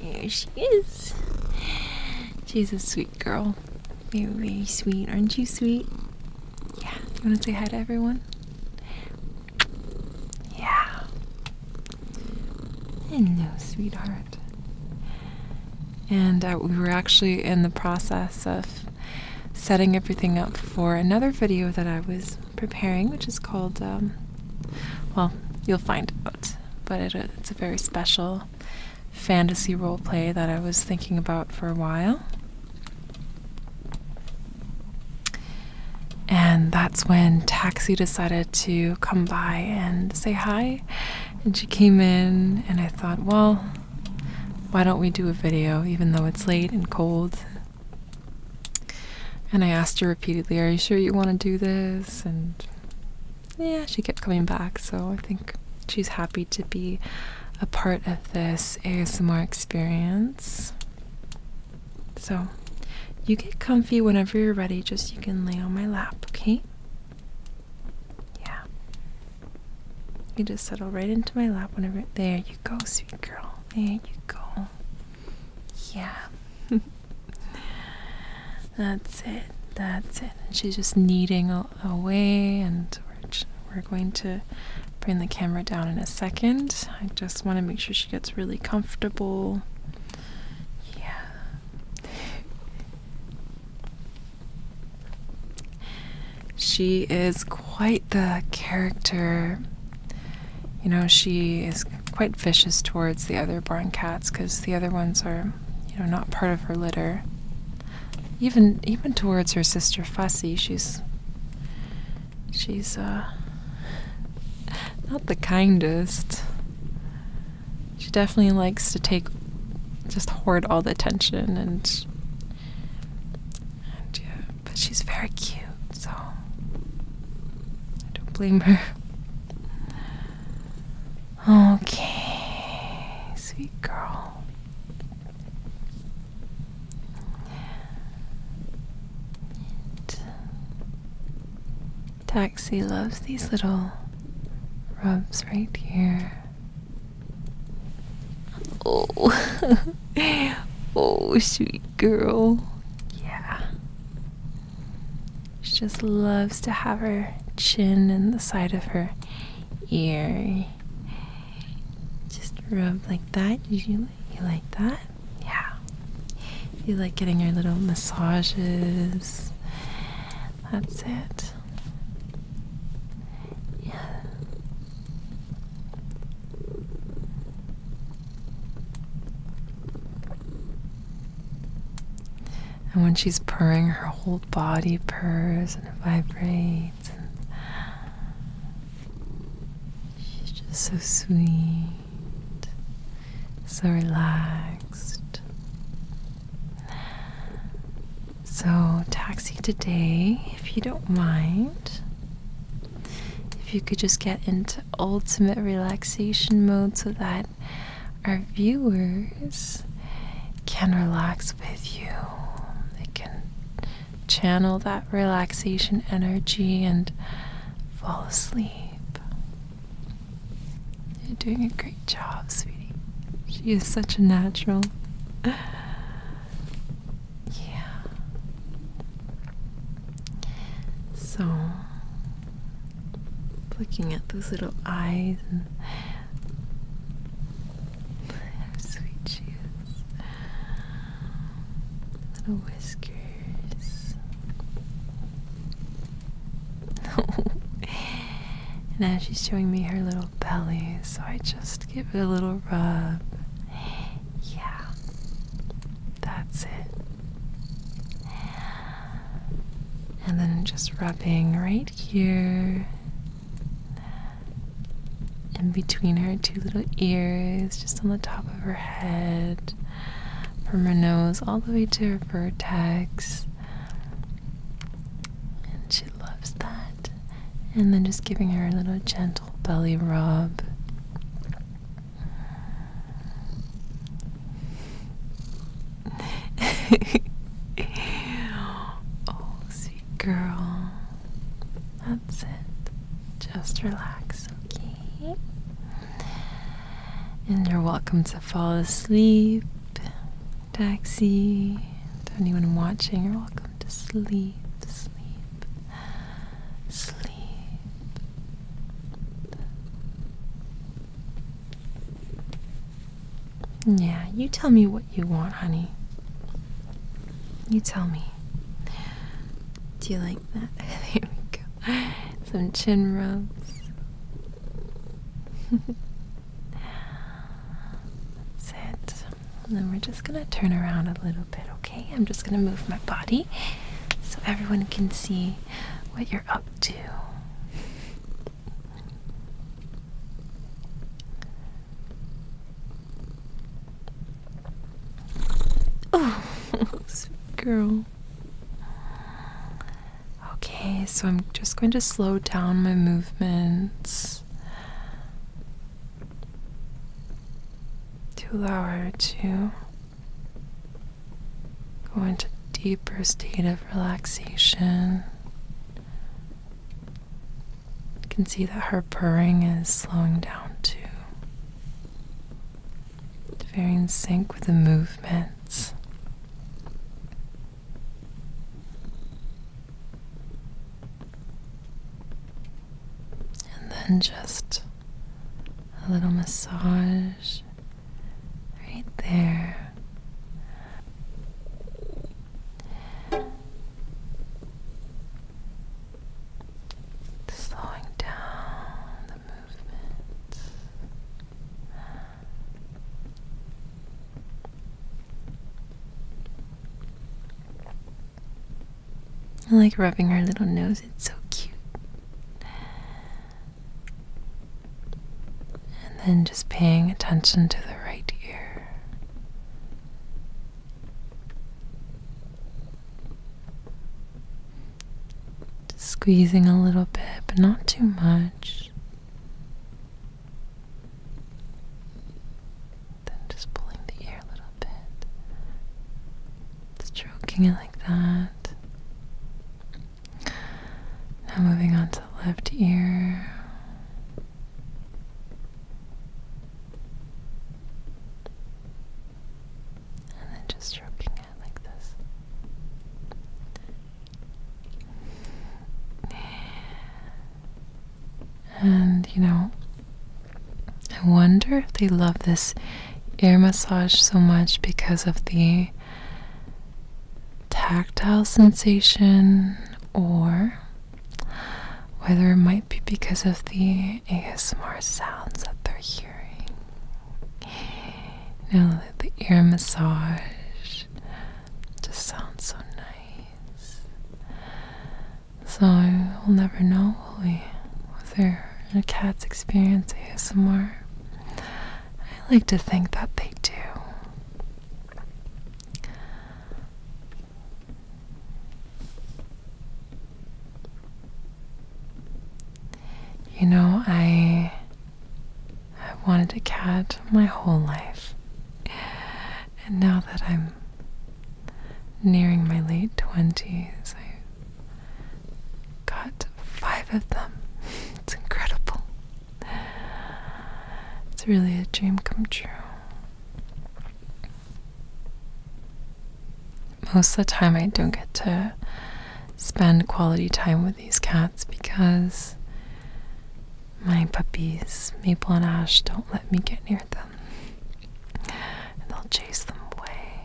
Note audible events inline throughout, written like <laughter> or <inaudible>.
There she is. She's a sweet girl. Very, very sweet. Aren't you sweet? Yeah. You want to say hi to everyone? Yeah. Hello, sweetheart. And uh, we were actually in the process of setting everything up for another video that I was preparing, which is called, um, well, you'll find out, but it's a very special fantasy role play that I was thinking about for a while. And that's when Taxi decided to come by and say hi. And she came in, and I thought, well, why don't we do a video even though it's late and cold and I asked her repeatedly, Are you sure you want to do this? And yeah, she kept coming back, so I think she's happy to be a part of this ASMR experience. So you get comfy whenever you're ready, just you can lay on my lap, okay? Yeah. You just settle right into my lap whenever. There you go, sweet girl. There you go. Yeah. <laughs> That's it. That's it. And she's just kneading away, and we're, we're going to bring the camera down in a second. I just want to make sure she gets really comfortable. Yeah. she is quite the character you know, she is quite vicious towards the other barn cats because the other ones are, you know, not part of her litter. Even even towards her sister Fussy, she's she's uh not the kindest. She definitely likes to take just hoard all the attention and, and yeah, but she's very cute, so I don't blame her. Okay, sweet girl. Taxi loves these little rubs right here. Oh, <laughs> oh, sweet girl. Yeah. She just loves to have her chin in the side of her ear. Just rub like that. You, you like that? Yeah. You like getting your little massages. That's it. Yeah. And when she's purring, her whole body purrs and vibrates. she's just so sweet, so relaxed. So, taxi today, if you don't mind, if you could just get into ultimate relaxation mode so that our viewers can relax with you. They can channel that relaxation energy and fall asleep. You're doing a great job, sweetie. She is such a natural. Yeah. So, looking at those little eyes and sweet cheeks, is. Little whiskers. <laughs> now she's showing me her little belly, so I just give it a little rub. Yeah, that's it. And then just rubbing right here in between her two little ears, just on the top of her head, from her nose all the way to her vertex. And she loves that. And then just giving her a little gentle belly rub. <laughs> oh, sweet girl. That's it. Just relax, okay? And you're welcome to fall asleep. Taxi, to anyone watching, you're welcome to sleep, sleep, sleep. Yeah, you tell me what you want, honey. You tell me. Do you like that? <laughs> there we go. Some chin rubs. Sit. And then we're just gonna turn around a little bit, okay? I'm just gonna move my body so everyone can see what you're up Two. Oh, <laughs> girl. Okay, so I'm just going to slow down my movements Two lower, two. Go into deeper state of relaxation. You can see that her purring is slowing down too. very in sync with the movements. And then just a little massage Right there. Slowing down the movement. I like rubbing her little nose, it's so cute. And then just paying attention to the right ear. squeezing a little bit, but not too much. Then just pulling the ear a little bit, stroking it like that. Now moving on to the left ear. And then just stroking it like this. And you know, I wonder if they love this ear massage so much because of the tactile sensation or whether it might be because of the ASMR sounds that they're hearing. Now, the ear massage just sounds so nice. So we'll never know, Whether a cat's experience ASMR I like to think that they do. You know, I I wanted a cat my whole life. And now that I'm nearing my late 20s, I Got five of them. <laughs> It's incredible. It's really a dream come true. Most of the time, I don't get to spend quality time with these cats because my puppies, Maple and Ash, don't let me get near them. they'll chase them away.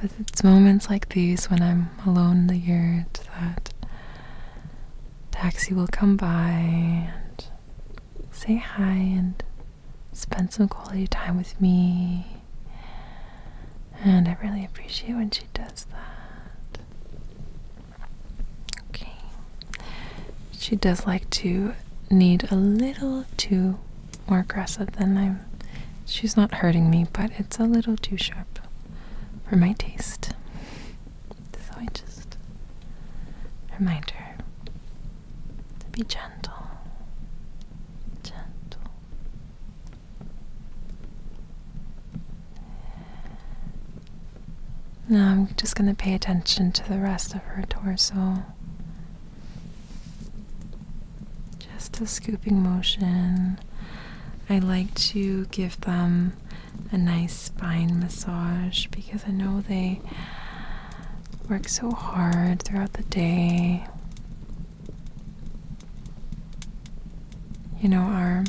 But it's moments like these when I'm alone in the yard that taxi will come by and say hi and spend some quality time with me. And I really appreciate when she does that. Okay. She does like to need a little too more aggressive than I she's not hurting me, but it's a little too sharp for my taste. So I just remind her to be gentle. Gentle. Now I'm just going to pay attention to the rest of her torso just a scooping motion. I like to give them a nice spine massage because I know they work so hard throughout the day. You know, our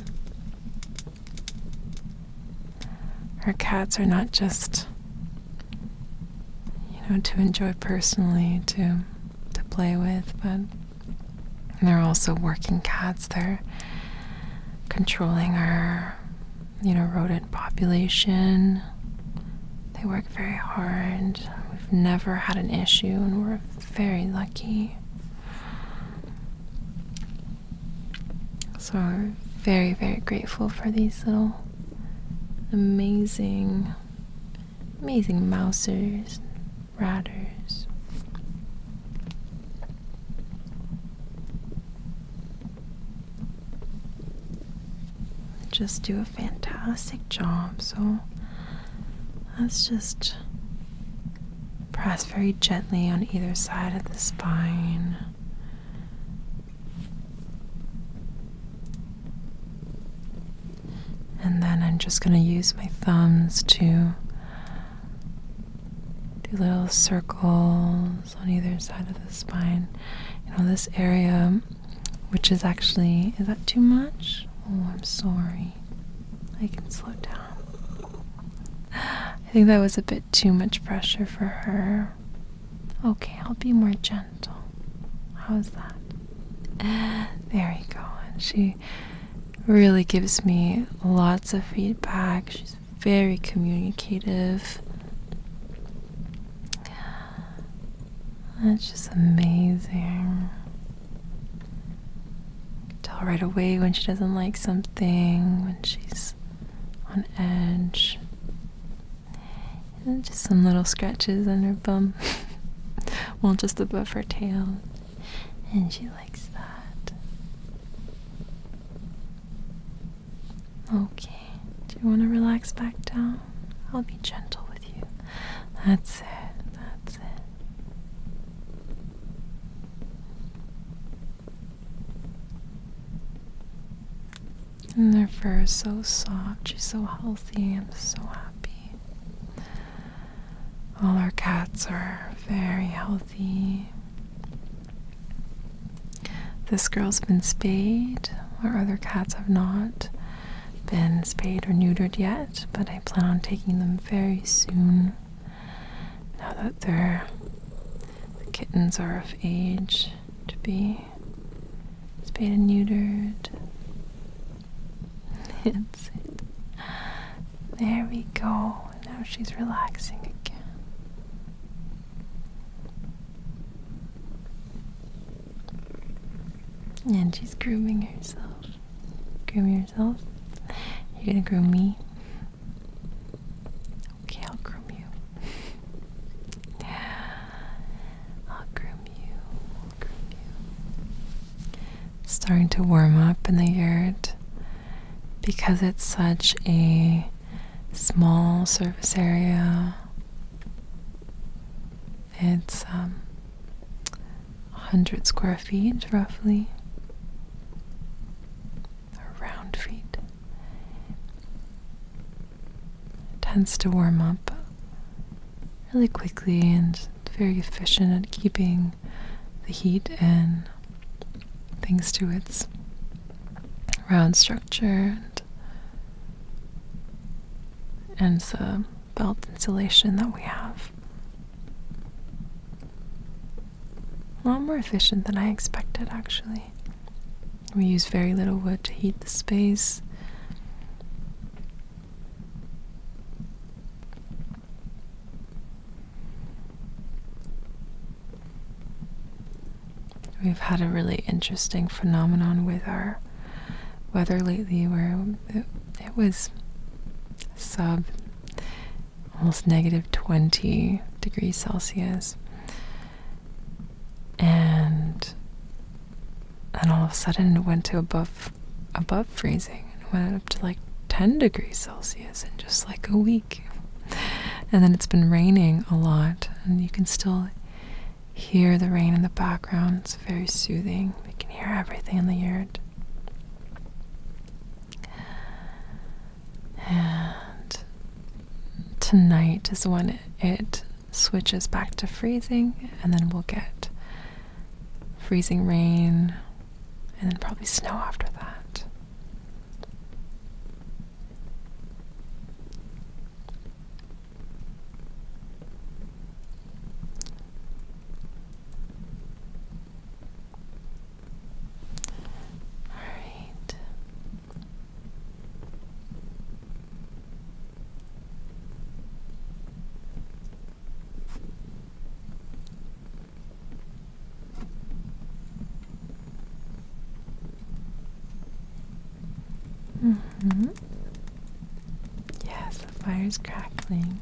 our cats are not just you know to enjoy personally to to play with, but and they're also working cats. They're controlling our, you know, rodent population. They work very hard. We've never had an issue, and we're very lucky. So we're very, very grateful for these little amazing, amazing mousers, Routers. Just do a fantastic job, so let's just press very gently on either side of the spine. And then I'm just going to use my thumbs to do little circles on either side of the spine. You know, this area, which is actually, is that too much? Oh, I'm sorry. I can slow down. I think that was a bit too much pressure for her. Okay, I'll be more gentle. How's that? There you go. And she really gives me lots of feedback. She's very communicative. That's just amazing. Tell right away when she doesn't like something, when she's on edge. And just some little scratches on her bum. <laughs> well, just above her tail and she likes that. Okay, do you want to relax back down? I'll be gentle with you. That's it, that's it. And their fur is so soft. She's so healthy. I'm so happy. All our cats are very healthy. This girl's been spayed, our other cats have not been spayed or neutered yet, but I plan on taking them very soon now that they the kittens are of age to be spayed and neutered. <laughs> That's it. There we go. Now she's relaxing again. And she's grooming herself. Groom yourself. You're gonna groom me. Okay, I'll groom you. <laughs> I'll groom you. I'll groom you starting to warm up in the yurt because it's such a small surface area. It's um, 100 square feet roughly, or round feet. tends to warm up really quickly and very efficient at keeping the heat in thanks to its round structure and, and the belt insulation that we have. A lot more efficient than I expected, actually. We use very little wood to heat the space. We've had a really interesting phenomenon with our weather lately where it, was sub almost negative 20 degrees Celsius. And then all of a sudden it went to above above freezing and went up to like 10 degrees Celsius in just like a week. And then it's been raining a lot, and you can still hear the rain in the background. It's very soothing. We can hear everything in the yard, And tonight is when it switches back to freezing, and then we'll get freezing rain and then probably snow after that. All right hmm Yes, the fire's crackling.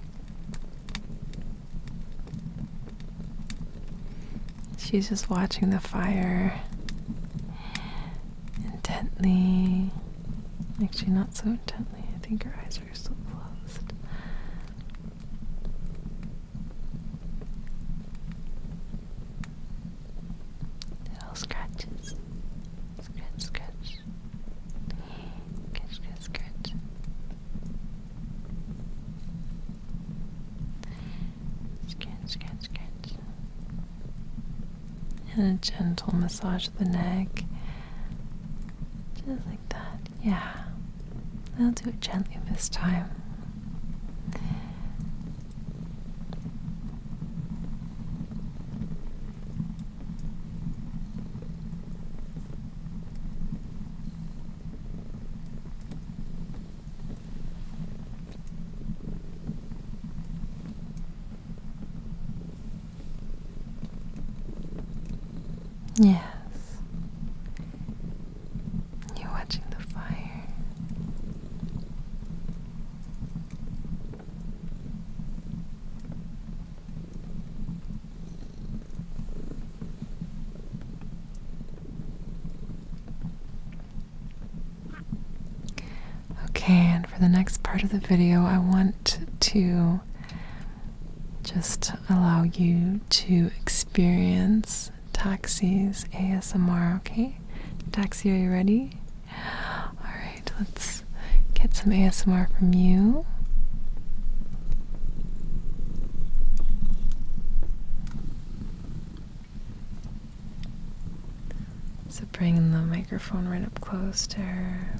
She's just watching the fire intently. Actually, not so intently. I think her eyes are still closed. Little scratches. Scratch, scratch. Scratch, scratch, scratch. Scratch, scratch, scratch. And a gentle massage of the neck. Just like that. Yeah, I'll do it gently this time. Yes. You're watching the fire. Okay, and for the next part of the video, I want to just allow you to experience Taxi's ASMR, okay? Taxi, are you ready? Alright, let's get some ASMR from you. So bring the microphone right up close to her.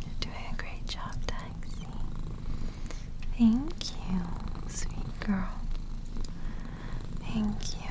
You're doing a great job, Taxi. Thank you, sweet girl. Thank you.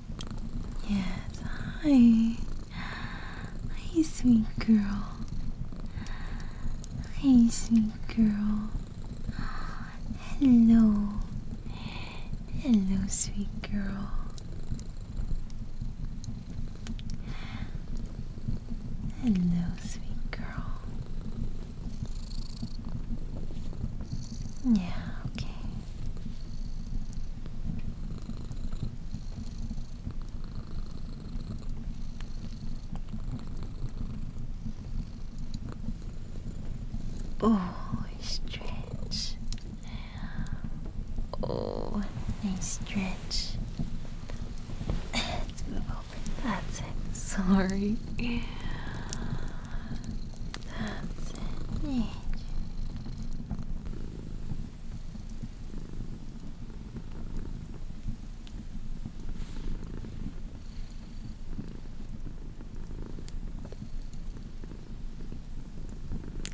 Yes, hi. Hey, sweet girl. Hey, sweet girl. Hello. Hello, sweet girl. Hello, sweet girl. Yeah, okay. Oh, stretch. Oh, nice stretch. Let's move over. That's it. Sorry. That's it.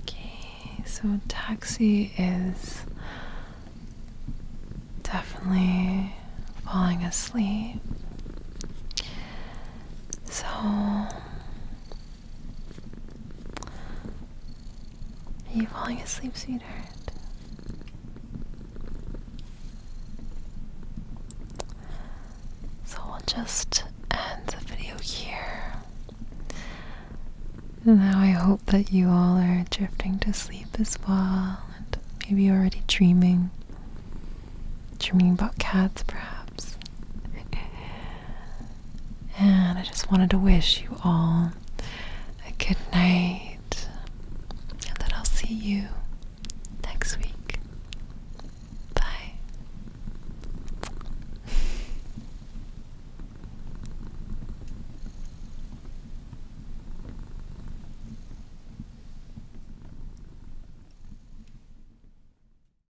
Okay, so taxi is definitely falling asleep. So are you falling asleep, sweetheart? So we'll just end the video here. And now I hope that you all are drifting to sleep as well, and maybe you're already dreaming. Dreaming about cats, perhaps. <laughs> And I just wanted to wish you all a good night, and that I'll see you next week. Bye.